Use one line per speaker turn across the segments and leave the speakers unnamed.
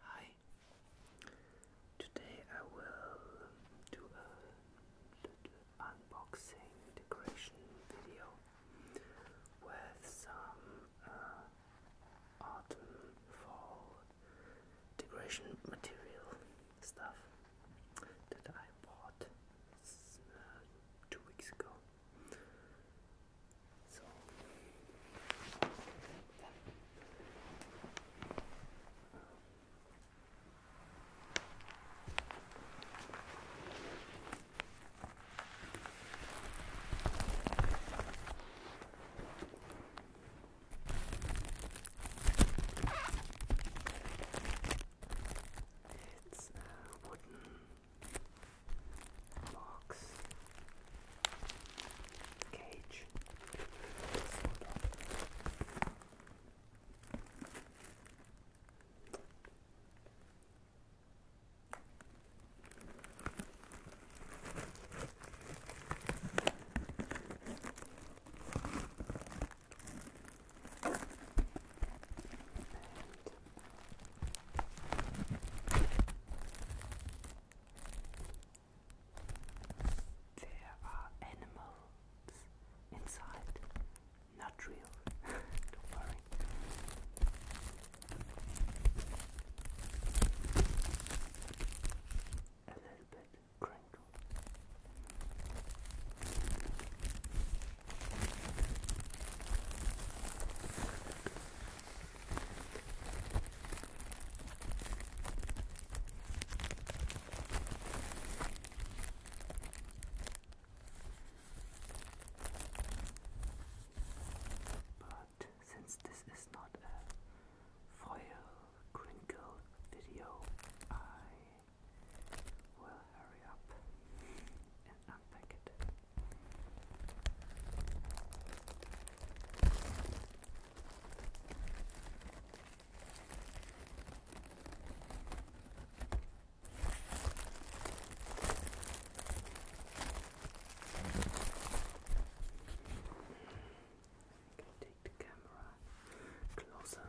Hi. Today I will do a unboxing decoration video with some uh, autumn fall decoration material stuff that I bought two weeks ago. So it's a wooden box cage. There are animals inside, not real. Don't worry. A little bit crinkled. But since this is not a foil crinkle video, I We'll hurry up and unpack it. I take the camera closer.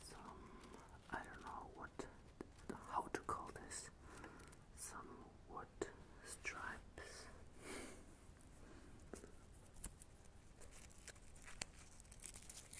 Some I don't know what how to call this. Some wood stripes.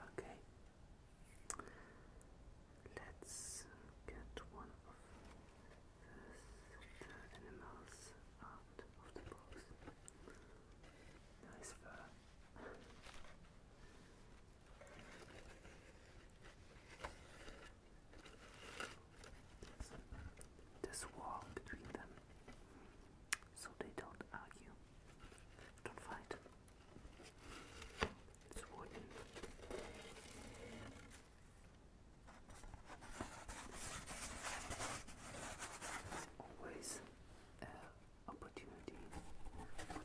Okay, let's get one of the animals out of the box. Nice fur this wall between them, so they don't argue, don't fight. It's wooden. Always uh, opportunity for tapping.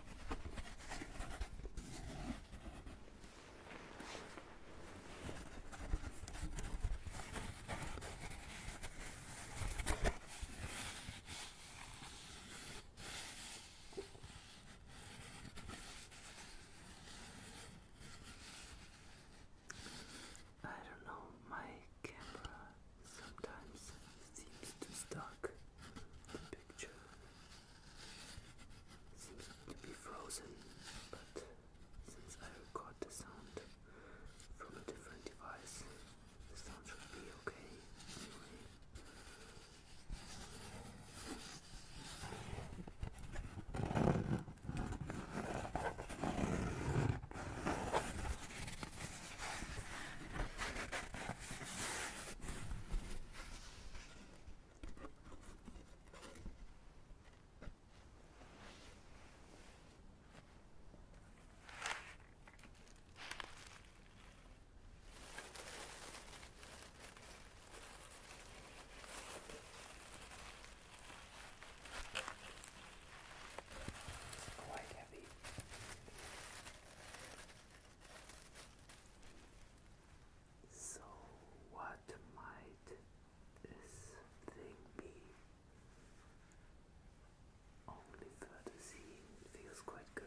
I don't know, my camera sometimes seems to stuck the picture seems to be frozen, but since I record the sound from a different device, the sound should be okay Quite heavy. So, what might this thing be? Only further seeing feels quite good.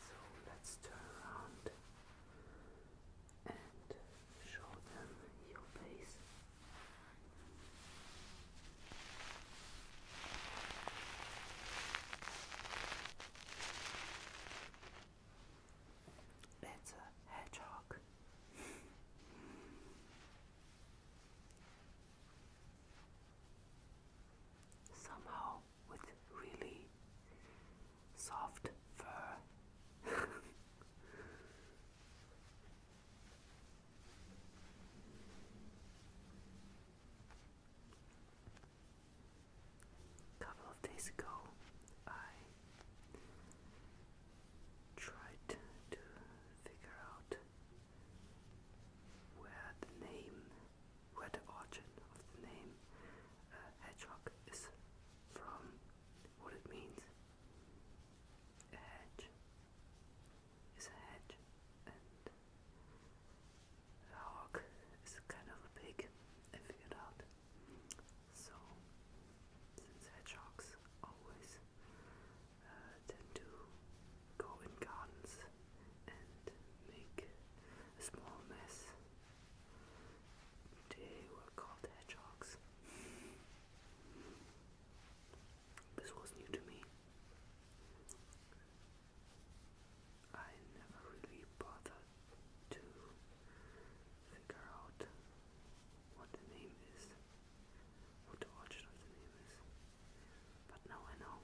So let's turn around and show them your face. That's a hedgehog somehow with really soft fur. A couple of days ago, I tried to figure out where the name, where the origin of the name uh, hedgehog is from, what it means. hedge is a hedge, and a hog is kind of a big, I figured out. So, since hedgehogs always tend to go in gardens and make a small mess. They were called hedgehogs. This was new to me. I never really bothered to figure out what the name is, what the origin of the name is, but now I know.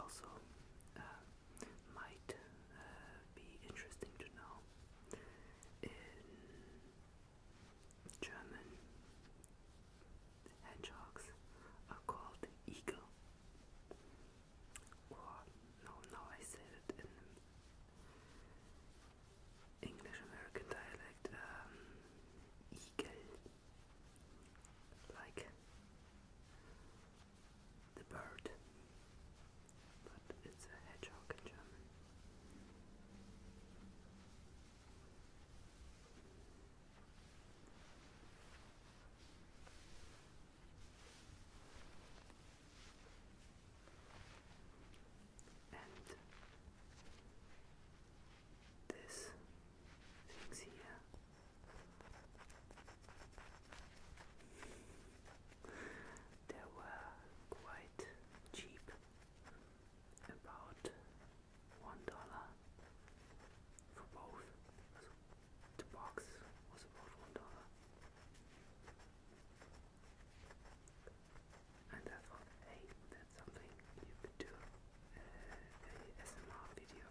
Also, uh, might uh, be interesting to know in German hedgehogs are called eagle. Or, no, I said it in English American dialect, um, eagle. Like the bird, but it's a hedgehog in German. And this things here. They were quite cheap, about one dollar for both. So the box was about one dollar. And I thought, hey, that's something you could do uh, a SMR video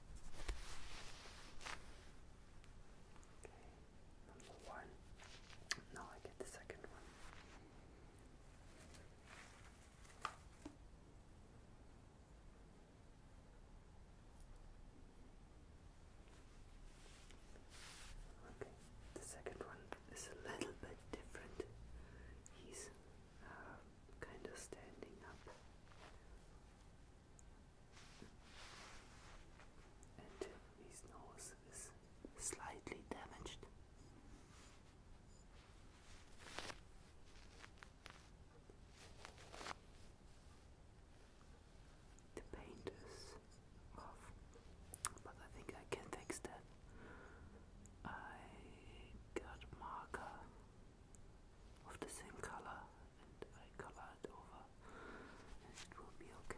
Number one. Now I get the second one. Okay, the second one is a little bit different. He's uh, kind of standing up and his nose is slightly damaged. The paint is off, but I think I can fix that. I got marker of the same color and I color it over and it will be okay.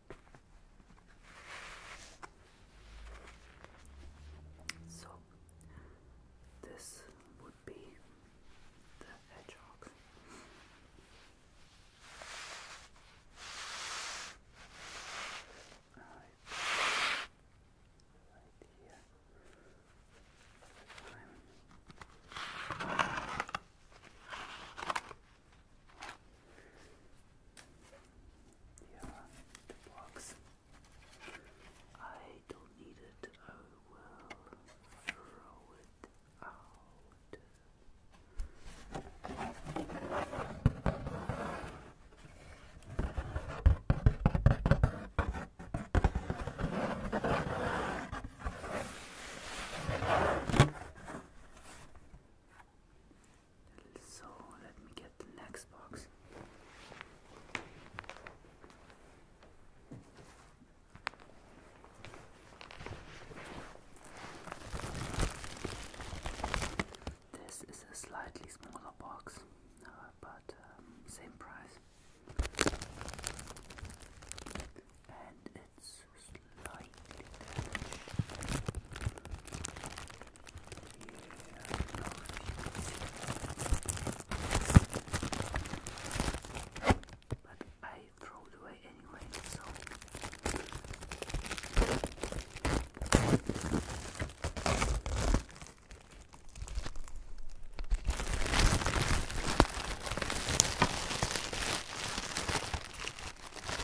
So this would be the hedgehog. Right here. Yeah, the box. I don't need it. I oh, will throw it out. So let me get the next box. This is a slightly smaller box, uh, but um, same price. And it's slightly damaged. Yeah, but I throw it away anyway, so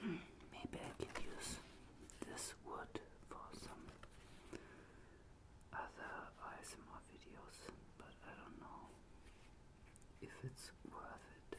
Hmm, maybe I can use this wood for some other ASMR videos, but I don't know if it's worth it.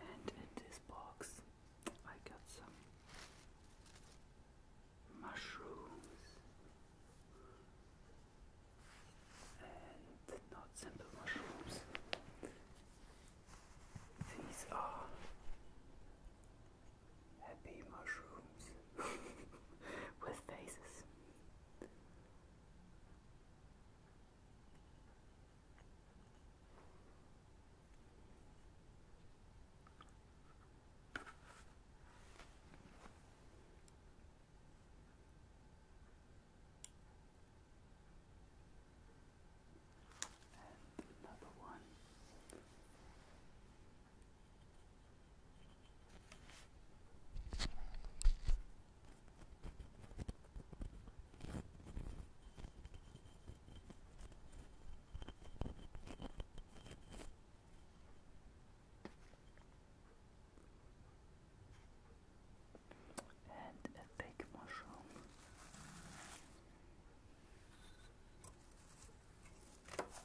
And in this box, I got some mushrooms and not simple mushrooms. These are happy mushrooms with faces. And another one and a fake mushroom.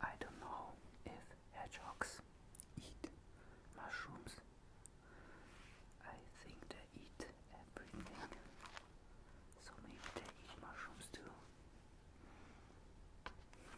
I don't know if hedgehogs eat mushrooms. I think they eat everything. So maybe they eat mushrooms too.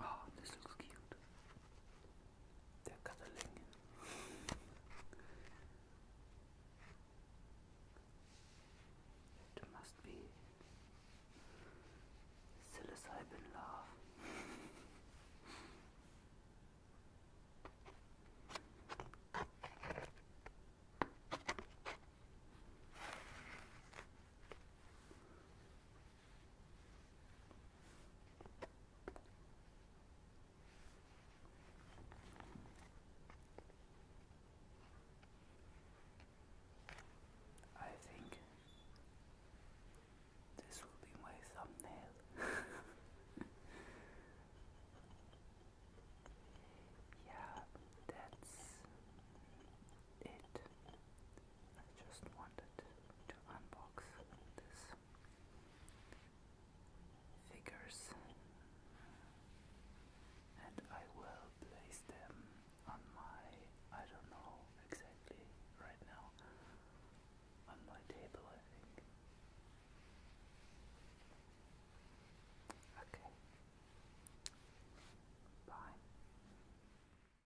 Oh, this looks cute. They're cuddling. It must be psilocybin love. I think this will be my thumbnail. yeah, that's it. I just wanted to unbox this figures and I will place them on my I don't know exactly right now on my table okay bye